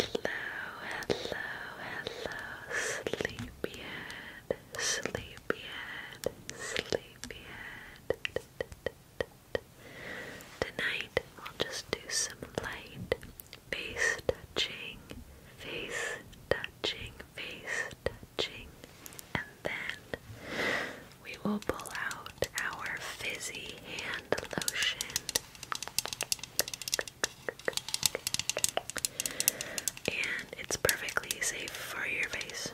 hello, hello, sleepyhead, sleepyhead, sleepyhead. Tonight we'll just do some light face touching, face touching, face touching, and then we will pull out our fizzy hand lotion and it's perfectly safe for your face.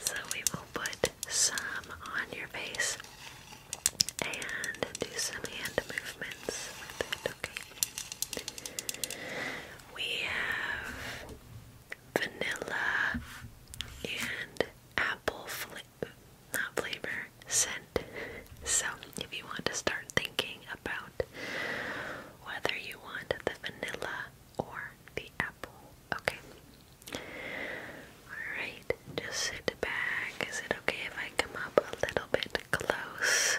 So we will put some on your face and do some hand movements with it, okay? We have vanilla and apple flavor not flavor, scent. So, if you want to start thinking about whether you want the vanilla or the apple, okay? Alright, just sit back. Is it okay if I come up a little bit close?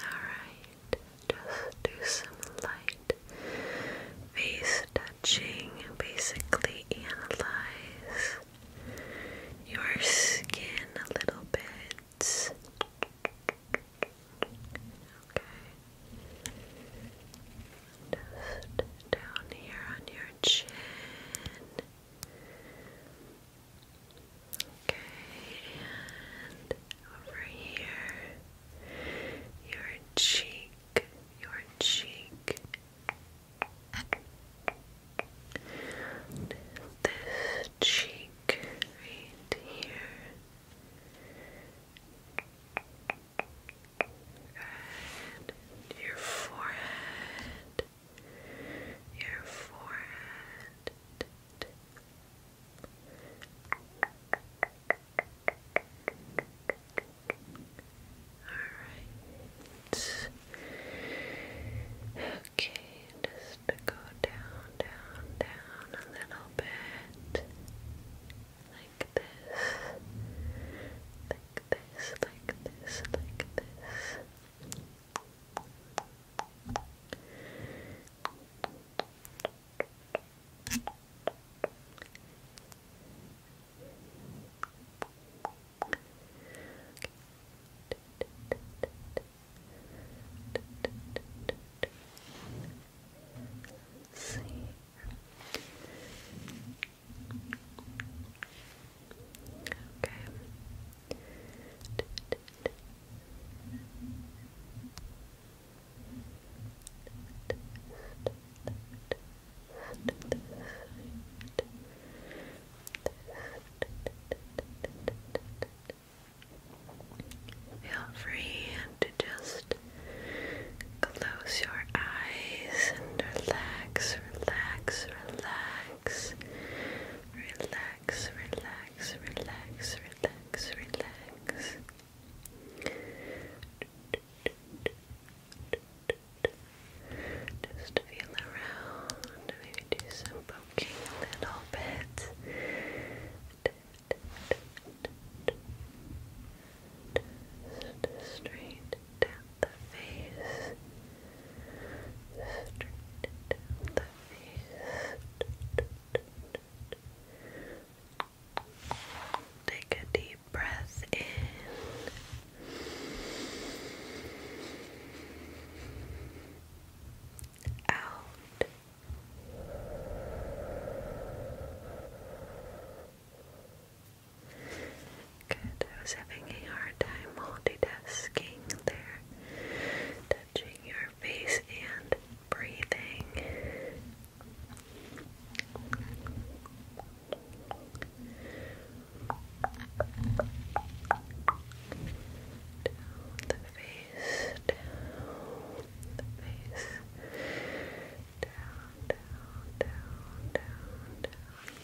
Alright, just do some light face touching basically analyze your skin a little bit. Okay. Just down here on your chin. Okay, and over here, your cheek, your cheek, this cheek right here. Your forehead. Your forehead. Alright. Okay, just go down, down, down a little bit. Like this. Like this, like this, like this. Let's see. Okay. Okay. Feel free to just close your eyes and relax, relax, relax, relax, relax, relax, relax, relax, relax. Just feel around, maybe do some poking a little bit. straight down the face. Straight down the face. Take a deep breath in. Out. Good. I was having a hard time multitasking there, touching your face and breathing the face, down the face, down, down, down, down,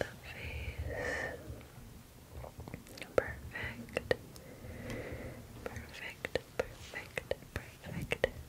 the face. Perfect. Perfect. Perfect. Perfect.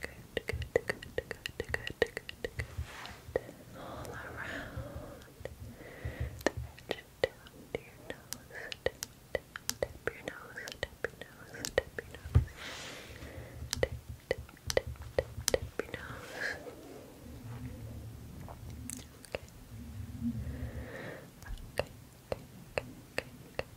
Good, good, good, good, good, good, good. All around the edge of your nose. Tip, tip, tip your nose, tip your nose, tip your nose. Tip, tip, tip, tip, tip your nose. Okay, okay, okay, okay, okay.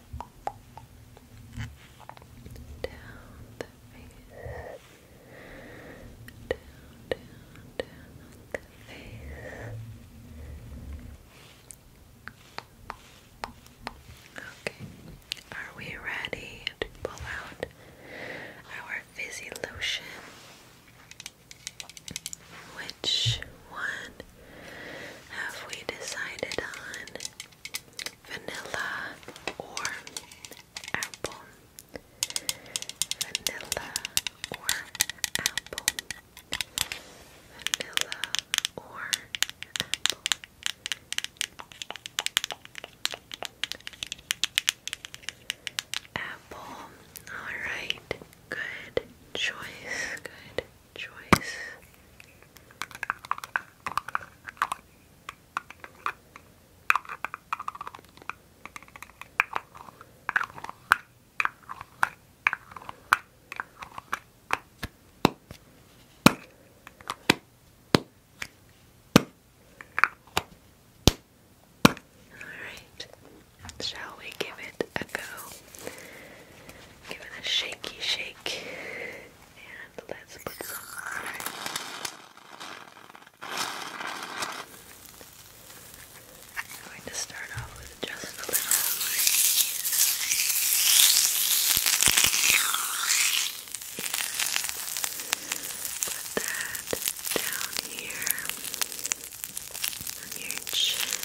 down the face, down, down, down the face. Okay, are we ready to pull out our fizzy lotion? Which one have we decided on? vanilla or apple vanilla or apple vanilla or apple apple all right good choice good choice Alright, shall we give it a go? Give it a shaky shake. And let's I'm going to start off with just a little. Put that down here on your chin.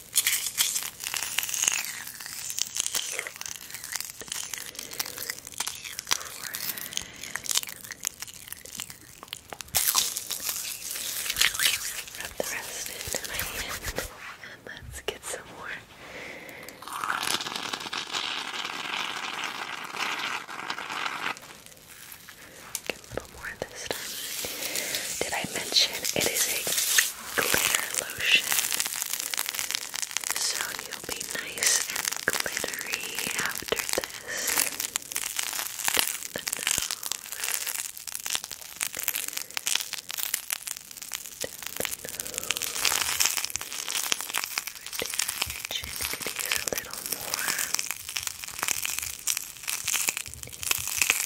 Rub the rest into my hand and let's get some more. Get a little more this time. Did I mention it is a glitter lotion so you'll be nice and glittery after this. Down the nose. Down the nose. Right chin use a little more.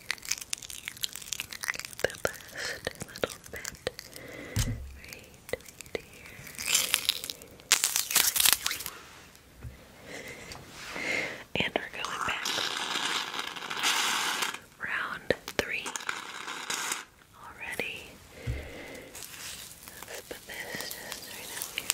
the last little bit right here. And we're going back. Round three already. Let's put this right here.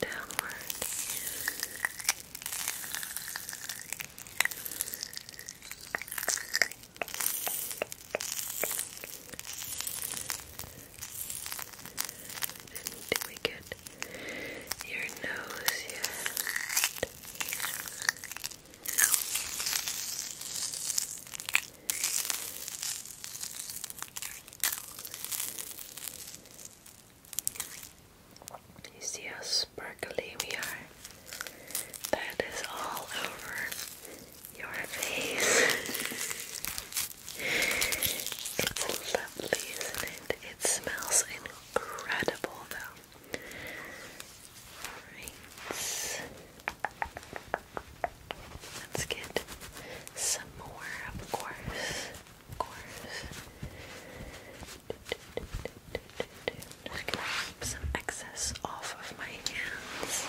downward and we get your nose yet? You see how sparkly we are? That is all over your face. It's lovely, isn't it? It smells incredible, though. Right. Let's get some more, of course. Of course. just going some excess off of my hands.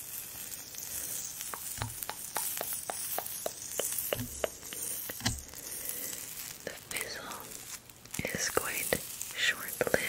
The fizzle is quite short lived.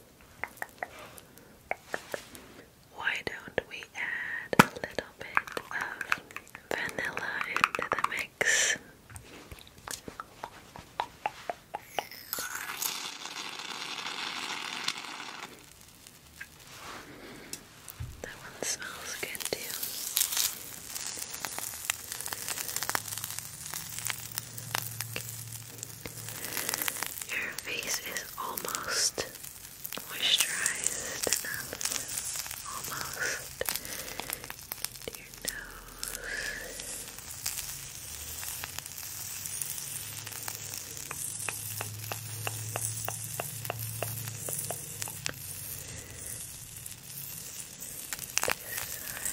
Why don't we add a little bit of vanilla into the mix? That one smells good too. Okay. Your face is almost moisturized enough. Almost. your nose. This side.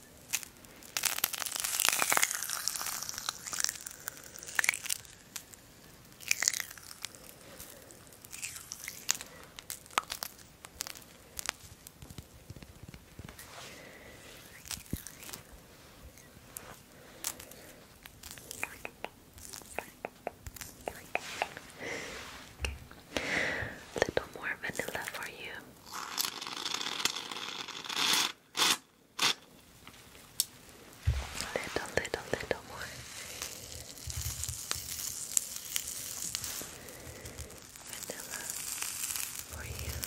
A little more vanilla for you. Little, little, little more. Vanilla for you.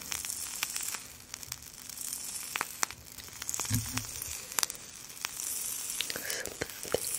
Mm -hmm. Slowly rub that in.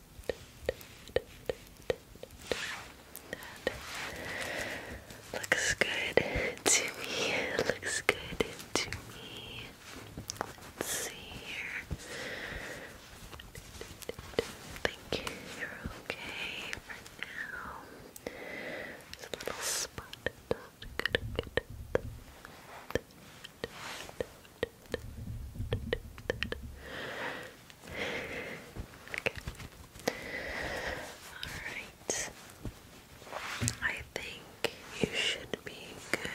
That looks good to me. looks good to me. Let's see here. you okay for now. There's a little spot. good. Good, Alright. I think you should be good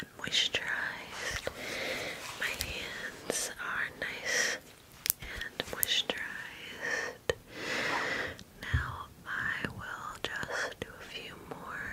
and moisturized. My hands are nice and moisturized. Now I will just do a few more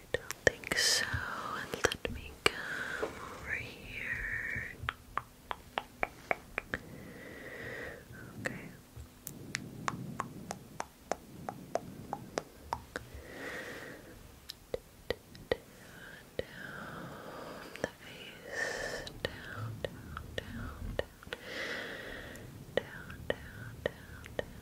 I don't think so. let me come over here. Okay. Down the face. Down, down, down, down. Down, down, down, down, down.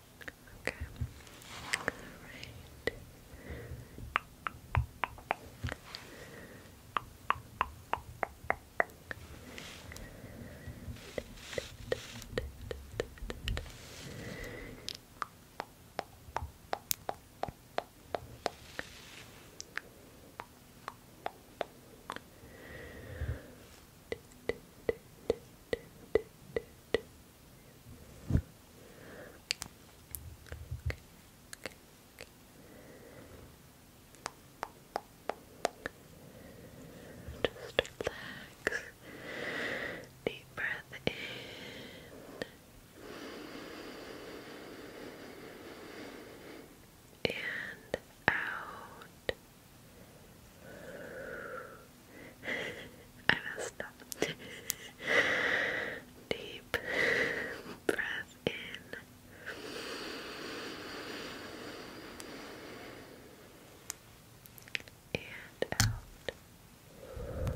Okay. Alright. Just relax. Deep breath in. And out. I messed up. Deep breath in. And out. Good.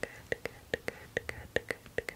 Good, good, good, good, good,